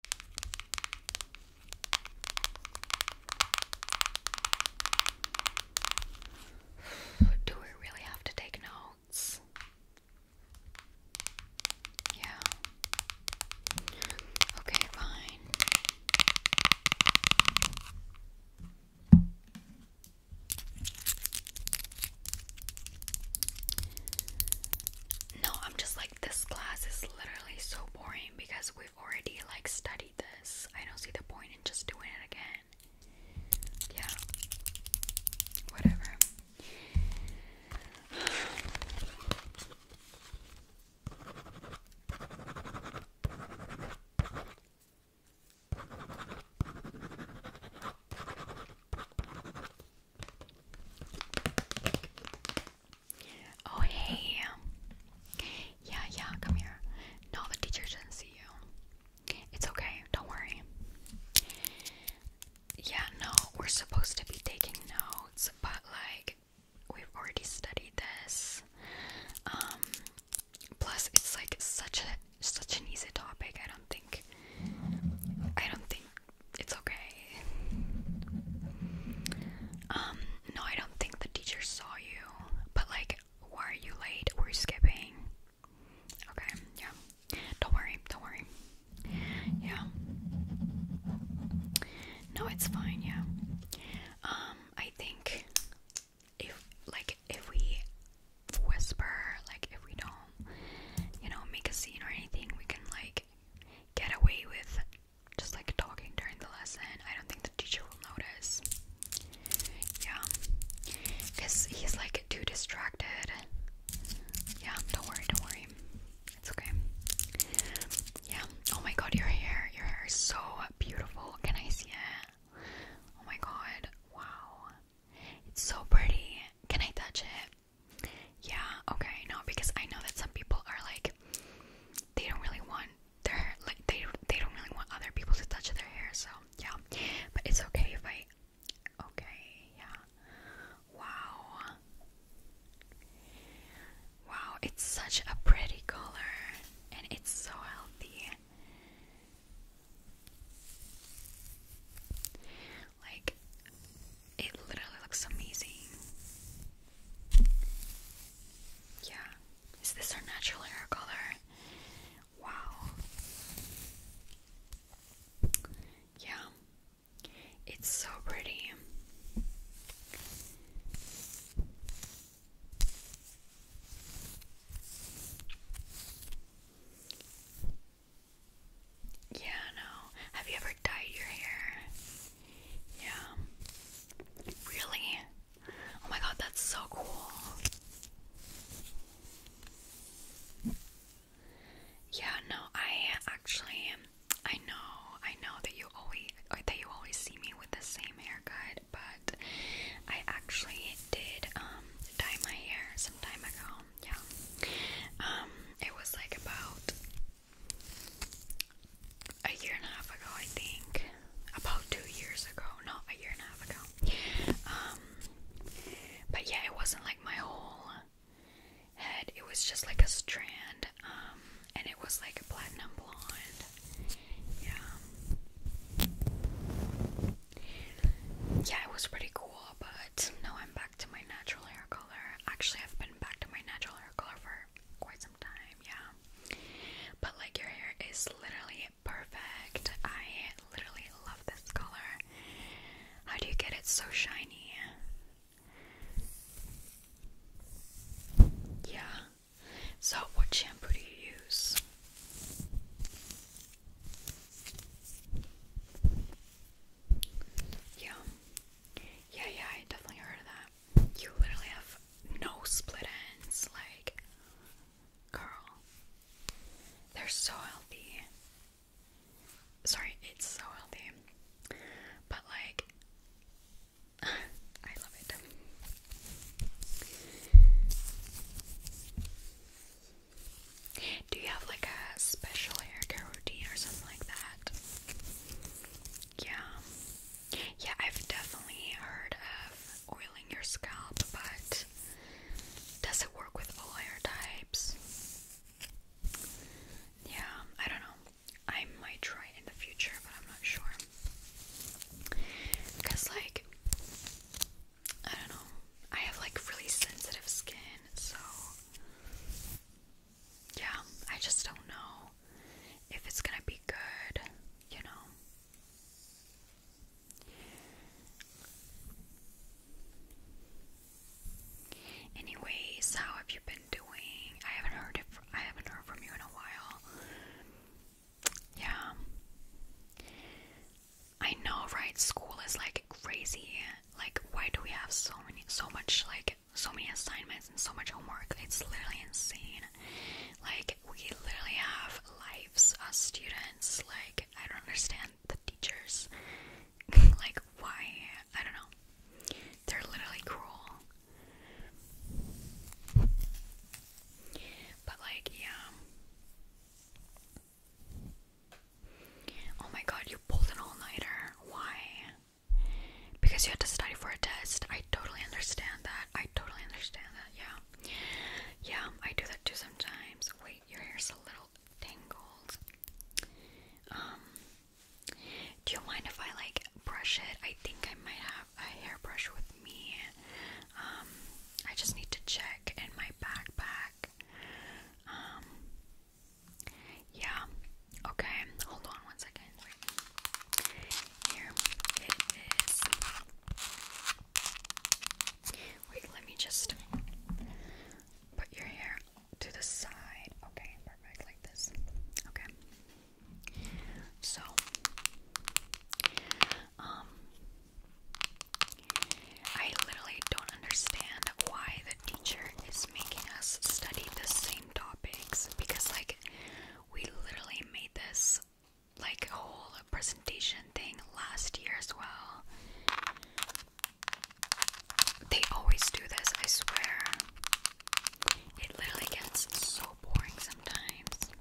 Do we really have to take notes? Yeah. Okay, fine. No, I'm just like this class is literally so boring because we've already like studied this. I don't see the point in just doing it again. Yeah. Whatever. Oh, hey. Yeah, yeah, come here. No, the teacher didn't see you. It's okay, don't worry. Yeah, no, we're supposed to be taking notes, but like, we've already studied this. Um, plus, it's like such a such an easy topic. I don't think I don't think it's okay. Um, no, I don't think the teacher saw you, but like, were you late? Were you skipping? Okay, yeah. Don't worry, don't worry. Yeah. No, it's fine, yeah. Um, I think if like if we whisper, like if we don't, you know, make a scene or anything, we can like get away with just like talking during the lesson. I don't think the teacher will notice. Yeah. Because he's like too distracted. Yeah, don't worry, don't worry. It's okay. Yeah. Oh my god, your hair. Your hair is so beautiful. Can I see it? Oh my god. Wow. It's so pretty. Can I touch it? Yeah, okay, no, because I know that some people are like they don't really want their like they they don't really want other people to touch their hair, so yeah. But it's okay if I okay, yeah. Wow. Wow, it's such a pretty color and it's so healthy. Like it literally looks amazing. Yeah. Is this our natural hair color? Wow. Yeah. It's so pretty. Yeah, no. Have you ever dyed your hair? Yeah. Really? Oh my god, that's so cool. Yeah, no, I actually I know, I know that you always that you always see me with the same haircut, but I actually did um dye my hair some time ago. Yeah. Um it was like about a year and a half ago, I think, about two years ago, not a year and a half ago. Um, but yeah, it wasn't like my whole head, it was just like a strand, um, and it was like platinum blonde. Yeah, yeah, it was pretty cool, but now I'm back to my natural hair color. Actually, I've been back to my natural hair color for quite some time, yeah. But like your hair is literally perfect. I literally love this color. How do you get it so shiny? Yeah. So what shampoo do you use? Yeah. Yeah, yeah, I definitely heard of that. You literally have no split ends, like, girl. They're so healthy. Sorry, it's so healthy. But, like, I love it. Do you have like a special hair care routine or something like that? Yeah. Yeah, I've definitely heard of oiling your scalp, but does it work with all hair types? Yeah, I don't know. I might try in the future, but I'm not sure. Because, like, I don't know. I have like really sensitive skin, so yeah, I just don't know if it's gonna be good, you know. Anyways, how have you been doing? I haven't heard it. I haven't heard from you in a while. Yeah, I know, right? School is like crazy, like why do we have so many so much like so many assignments and so much homework it's literally insane like we literally have lives as students like i don't understand the teachers like why i don't know they're literally cruel but like yeah Oh my god, you pulled an all nighter. Why? Because you had to study for a test. I totally understand that. I totally understand that. Yeah. Yeah, I do that too sometimes. Wait, your hair's a little tangled. Um do you mind if I like brush it? I think I might have a hairbrush with me. Um I just need to check in my backpack. Um yeah. Okay. Hold on one second. Here it is. Wait, let me just put your hair to the side. Okay, perfect, like this. Okay. So, um, I literally don't understand why the teacher is making us study the same topics because, like, we literally made this like whole presentation thing last year as well. They always do this, I swear. It literally gets so boring sometimes.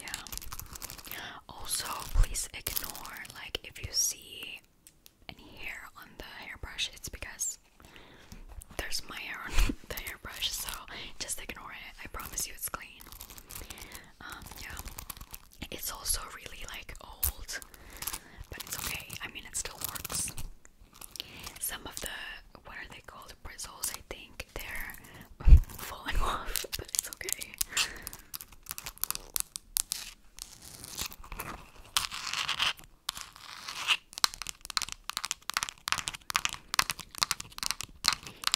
Yeah. Also, please ignore like if you see any hair on the hairbrush, it's because there's my hair on the hairbrush, so just ignore it. I promise you it's clean. Um, yeah. It's also really like old, but it's okay. I mean, it still works. Some of the, what are they called? Bristles, I think they're falling off, but it's okay.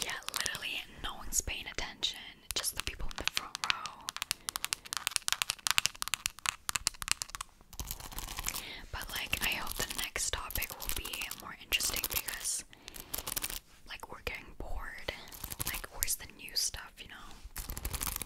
Yeah, literally no one's paying attention, just the people in the front row. But, like, I hope the next topic will be more interesting because, like, we're getting bored. Like, where's the new stuff, you know?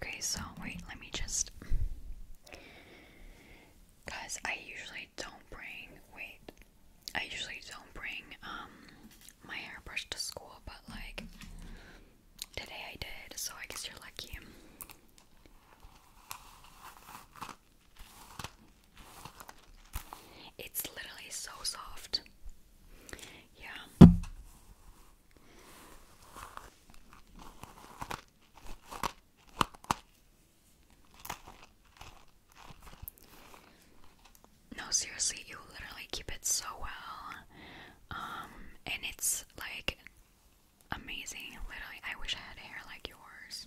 Okay, so wait, let me just. Cause I usually don't bring. Wait. I usually don't bring um my hairbrush to school, but like today I did, so I guess you're lucky. It's literally so soft. Yeah no, seriously, you literally keep it so well. Um, and it's like amazing. Literally, I wish I had hair like yours.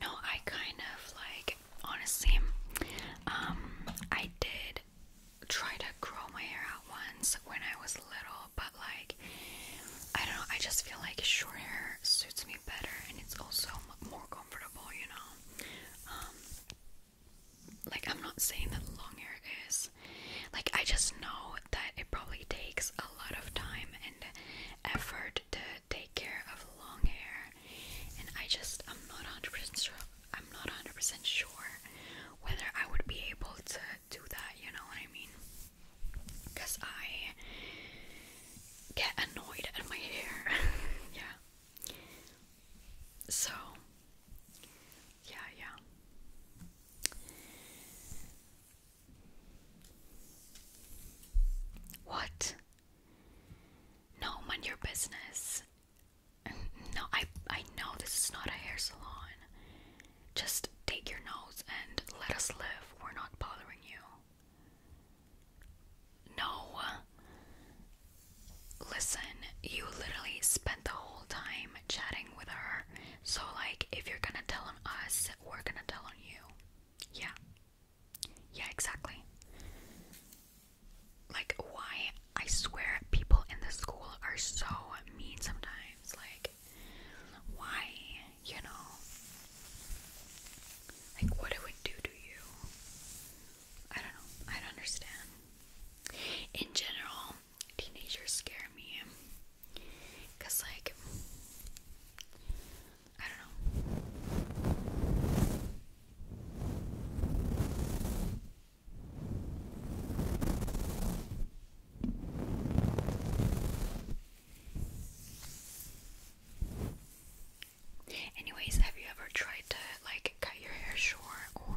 No, I kind of like honestly, um, I did try to grow my hair out once when I was little, but like I don't know, I just feel like short hair suits me better and it's also more comfortable, you know. Um like I'm not saying that long hair is. Like I just know that it probably takes a lot of time and effort to take care of long hair, and I just I'm not 100% sure. I'm not 100 sure whether I would be able to do that. You know what I mean? Cause I get annoyed at my hair. yeah. So, yeah, yeah. What? No, mind your business. No, I I know this is not a hair salon. Just take your nose and let us live. We're not bothering you. No. Listen, you literally spent the whole time chatting with her. So like if you're gonna tell on us, we're gonna tell on you. Yeah. Yeah, exactly. Like, why? I swear people in the school are so mean sometimes. Like, why? You know? Like, what it do to you? I don't know. I don't understand. In general, teenagers scare me. Because, like, I don't know. Anyways, have you ever tried to like cut your hair short or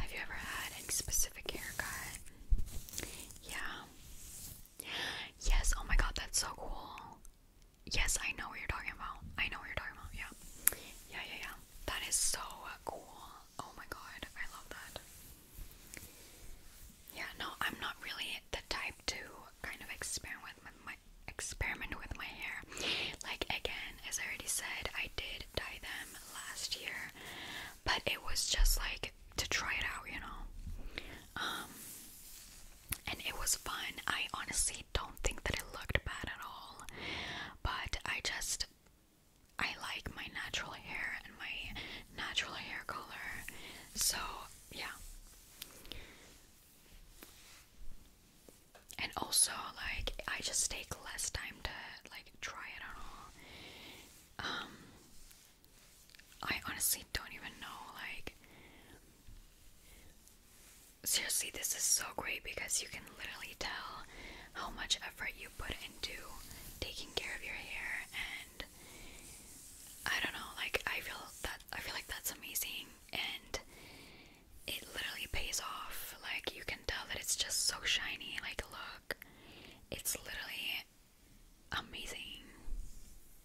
have you ever had any specific haircut? Yeah. Yes, oh my god, that's so cool. Yes, I know what you're talking about. I know what you're talking about. Yeah. Yeah, yeah, yeah. That is so uh, cool. Oh my god, I love that. Yeah, no, I'm not really the type to kind of experiment with my experiment with my hair. Like again, as I already said, I did dye them last year, but it was just like to try it out, you know. Um, and it was fun. I honestly don't think that it looked bad at all, but I just I like my natural hair and my natural hair color, so yeah. And also, like, I just take less time to like try it on all. Um, I honestly don't even know. Like, seriously, this is so great because you can literally tell how much effort you put into taking care of your hair, and I don't know. Like, I feel that I feel like that's amazing, and it literally pays off. Like, you can tell that it's just so shiny. Like, look, it's literally amazing.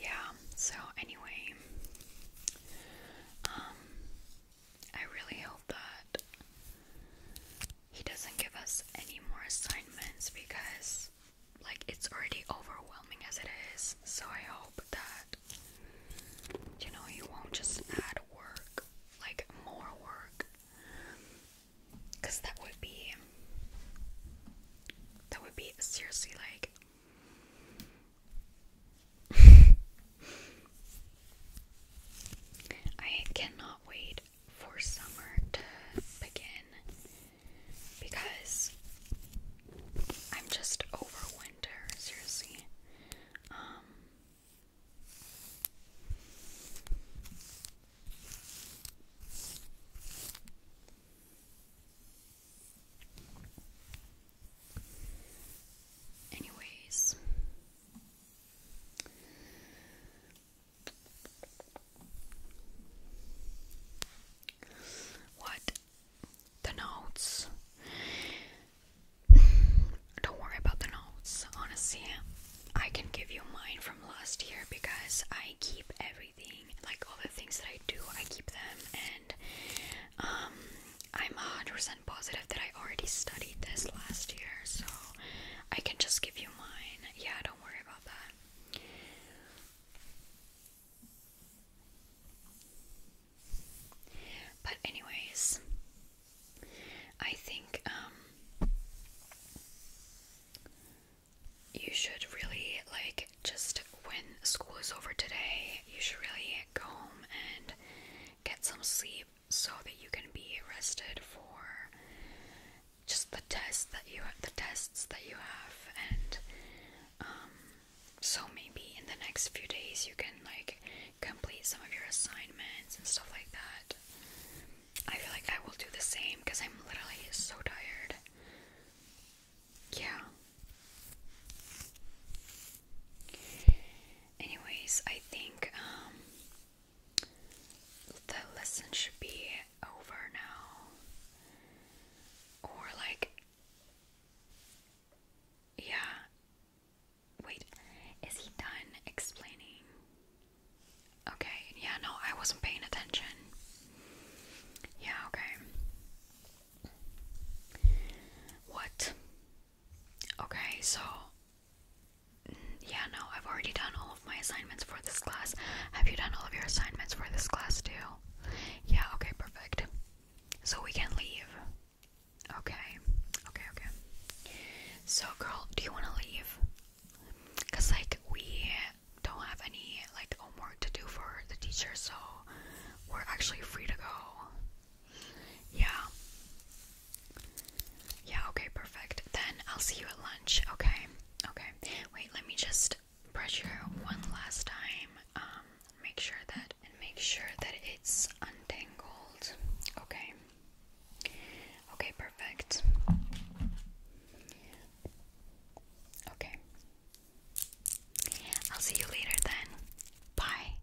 Yeah, so anyway, um, I really hope that he doesn't give us any more assignments because, like, it's already overwhelming as it is. So I hope that, you know, he won't just add work like more work because that would be that would be seriously like I cannot wait for summer to begin because I'm just over winter seriously um, Anyways, what the notes don't worry about the notes, honestly. I can give you mine from last year because I keep everything, like all the things that I do, I keep them, and um, I'm 100% positive that I already studied this last year, so I can just give you mine. Yeah, don't worry about that. But anyways, I think um you should really like just when school is over today, you should really go home and get some sleep so that you can be rested for just the tests that you the tests that you have and um so maybe in the next few days you can like complete some of your assignments and stuff like that. I feel like I will do the same because I'm literally so tired. Yeah. Anyways, I think um, the lesson should be over now. Or like yeah, Wait, is he done explaining? Okay, yeah, no, I wasn't paying attention. Yeah, okay. What? Okay, so. Mm, yeah, no, I've already done all of my assignments for this class. Have you done all of your assignments for this class too? Yeah, okay, perfect. So we can leave. Okay, okay, okay. So, girl, do you want to leave? Cause like we don't have any like homework to do for the teacher, so we're actually free to go. Yeah. Yeah. Okay. Perfect. Then I'll see you at lunch. Okay. Okay. Wait. Let me just pressure one last time. Um make sure that and make sure that it's untangled. Okay. Okay, perfect. Okay. I'll see you later then. Bye.